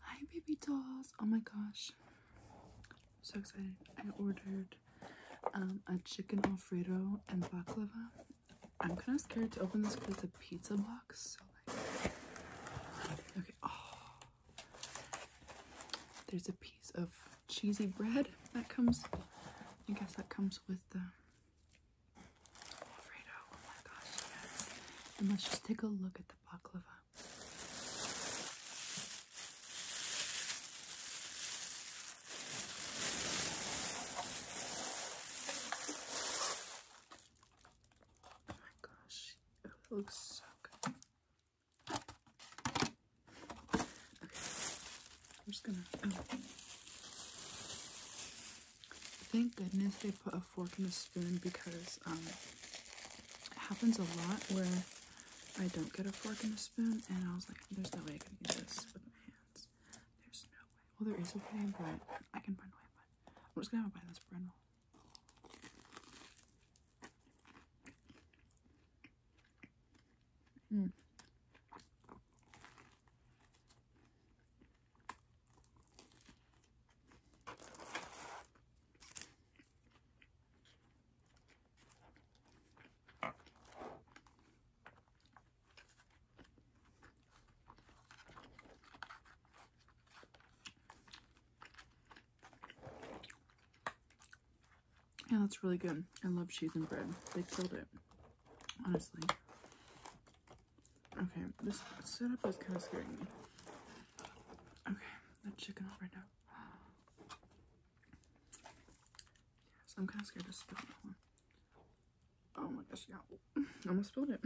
Hi, baby dolls. Oh my gosh. so excited. I ordered um, a chicken Alfredo and baklava. I'm kind of scared to open this because it's a pizza box. So, okay. Oh. there's a piece of cheesy bread that comes, I guess that comes with the Oh and let's just take a look at the baklava. Oh my gosh, it looks so good. Okay, I'm just gonna. Oh. Thank goodness they put a fork and a spoon because um, it happens a lot where I don't get a fork and a spoon, and I was like, there's no way I can do this with my hands. There's no way. Well, there is a way, but I can find a way, but I'm just gonna have to buy this bread roll. Mm. Yeah, that's really good. I love cheese and bread. They killed it, honestly. Okay, this setup is kind of scaring me. Okay, that chicken off right now. So I'm kind of scared to spill that one. Oh my gosh, yeah. almost spilled it.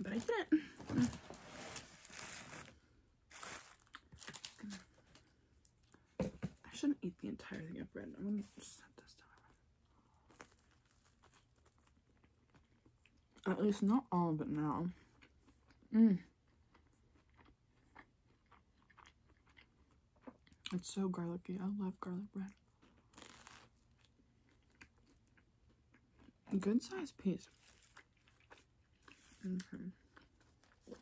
But I didn't. I shouldn't eat the entire thing up red. I'm gonna set this down. At least not all of it now. Mmm. It's so garlicky. I love garlic bread. good sized piece. Okay. Mm-hmm.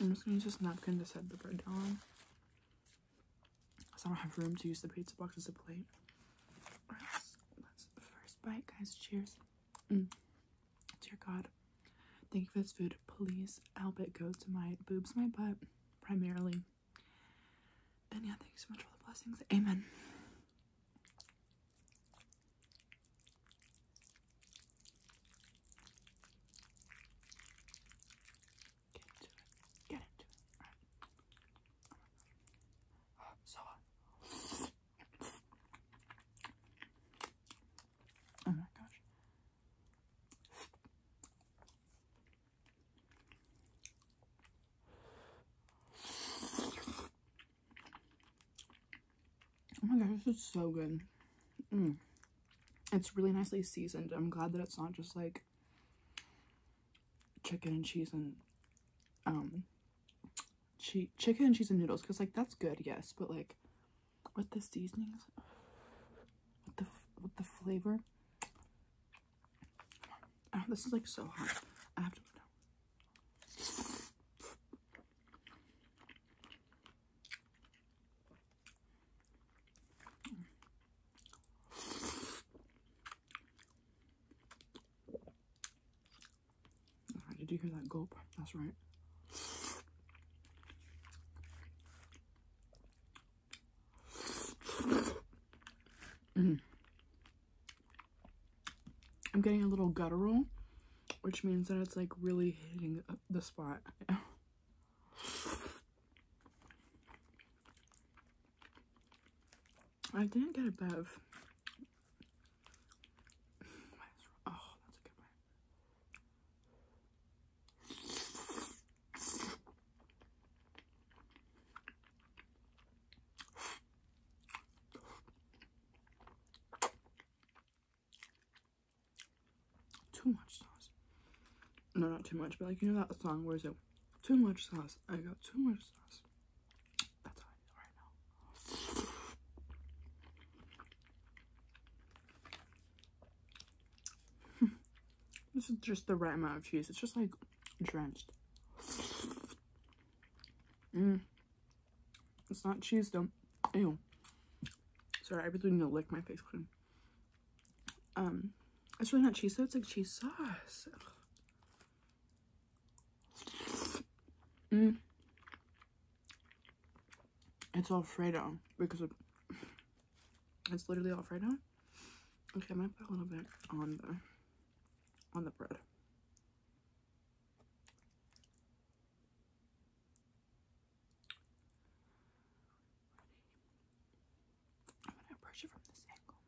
I'm just gonna use this napkin to set the bread down on. Because I don't have room to use the pizza box as a plate. let's, first bite, guys. Cheers. Mm. Dear God, thank you for this food. Please help it go to my boobs, my butt, primarily. And yeah, thank you so much for the blessings. Amen. Get into it. Get it. so hot. Uh, oh my gosh. Oh my gosh, this is so good. Mm. It's really nicely seasoned. I'm glad that it's not just like chicken and cheese and um che chicken and cheese and noodles because like that's good yes but like with the seasonings with the with the flavor oh, this is like so hot i have to did you hear that gulp? That's right. Mm-hmm. I'm getting a little guttural which means that it's like really hitting the spot. I didn't get a Bev. Oh, too much sauce. No, not too much, but like, you know that song where it's too much sauce, I got too much sauce. That's how I feel right now. This is just the right amount of cheese. It's just like drenched. Mm. It's not cheese though. Ew. Sorry, I really need to lick my face clean. Um, it's really not cheese though. It's like cheese sauce. Ugh. Mm. It's Alfredo because it's literally Alfredo. Okay, I'm gonna put a little bit on the on the bread. I'm gonna approach it from this angle.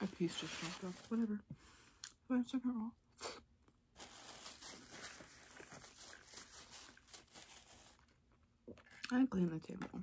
A piece just dropped off. Whatever. Five second roll. I clean the table.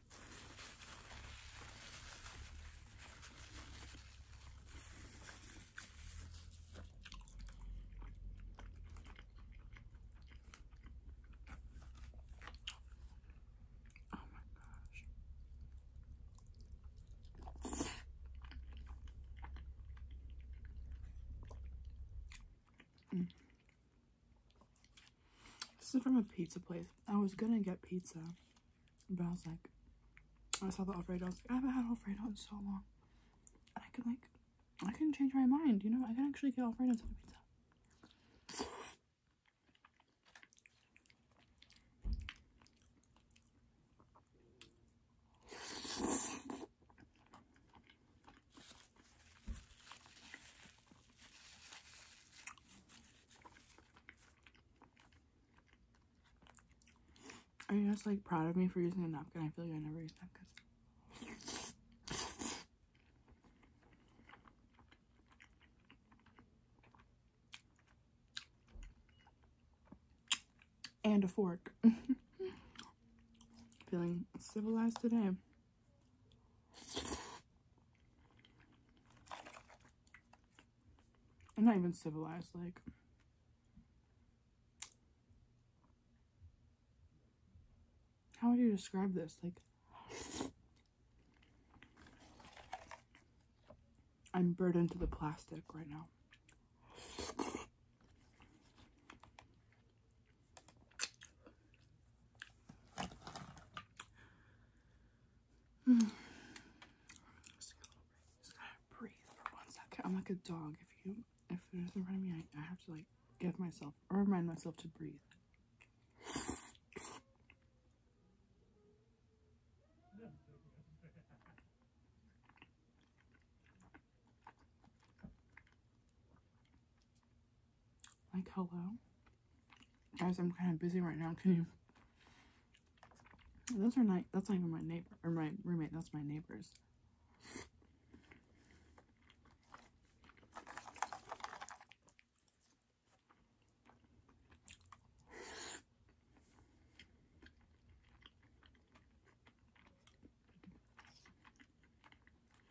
Oh my gosh. Mm. This is from a pizza place. I was gonna get pizza, but I was like, I saw the Alfredo. I was like, I haven't had Alfredo in so long. And I could like, I can not change my mind. You know, I can actually get Alfredo instead of pizza. Are you just like proud of me for using a napkin? I feel like I never use napkins. And a fork. Feeling civilized today. I'm not even civilized, like. How would you describe this? Like, I'm burdened to the plastic right now. Mm. Just gotta breathe for one second. I'm like a dog. If you, if it is in front of me, I, I have to like give myself or remind myself to breathe. Like, hello? Guys, I'm kind of busy right now. Can you? Those are not, that's not even my neighbor, or my roommate, that's my neighbor's.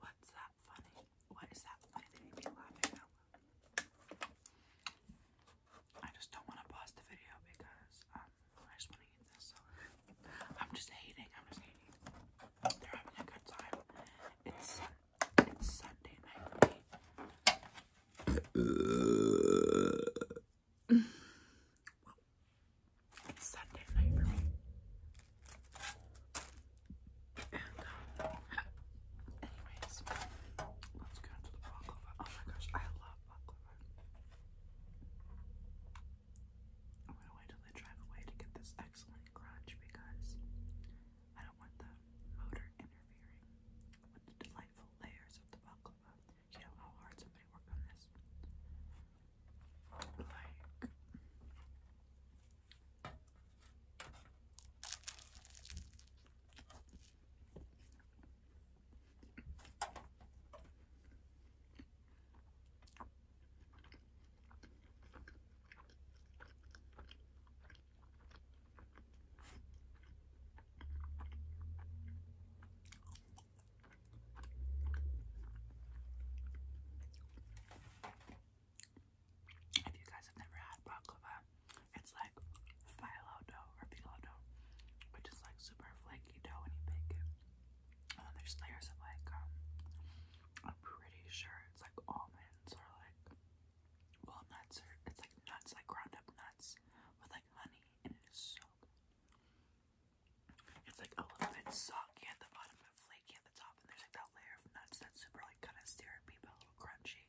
What's that funny? What is that funny that you'd be laughing I just don't want to pause the video because um, I just want to eat this. So I'm just hating. I'm just hating. They're having a good time. It's it's Sunday night for me. It's Sunday night for me. And, um, anyways, let's go into the baklava. Oh my gosh, I love baklava. I'm gonna wait till they drive away to get this excellent crunch because I don't want the motor interfering with the delightful layers of the baklava. You know how hard somebody worked on this? If you guys have never had baklava, it's like phyllo dough or phyllo dough, which is like super flaky dough when you bake it. And there's layers of like, um, I'm pretty sure it's like almonds or like well, it's like nuts, like ground up nuts with like honey, and it is so good. It's like a little bit soggy at the bottom, but flaky at the top, and there's like that layer of nuts that's super like kind of syrupy but a little crunchy.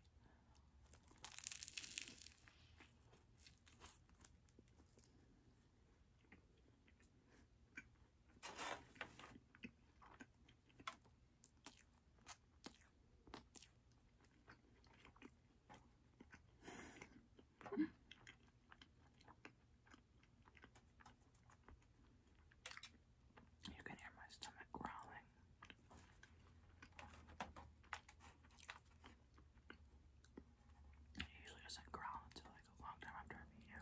You can hear my stomach growling. usually doesn't growl until like a long time after I've eaten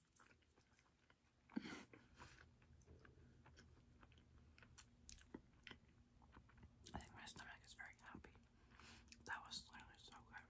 I think my stomach is very happy. That was literally so good.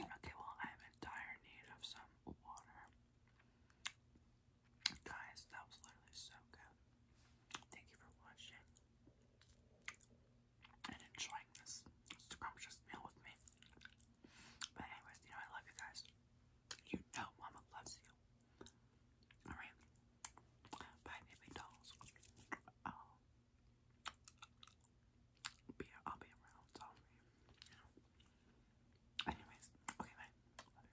Okay, well, I'm in dire need of some water. Guys, that was literally so good. Thank you for watching and enjoying this scrumptious meal with me. But anyways, you know I love you guys. You know Mama loves you. Alright. Bye baby dolls. Oh. Be, I'll be around, sorry. Anyways, okay, bye.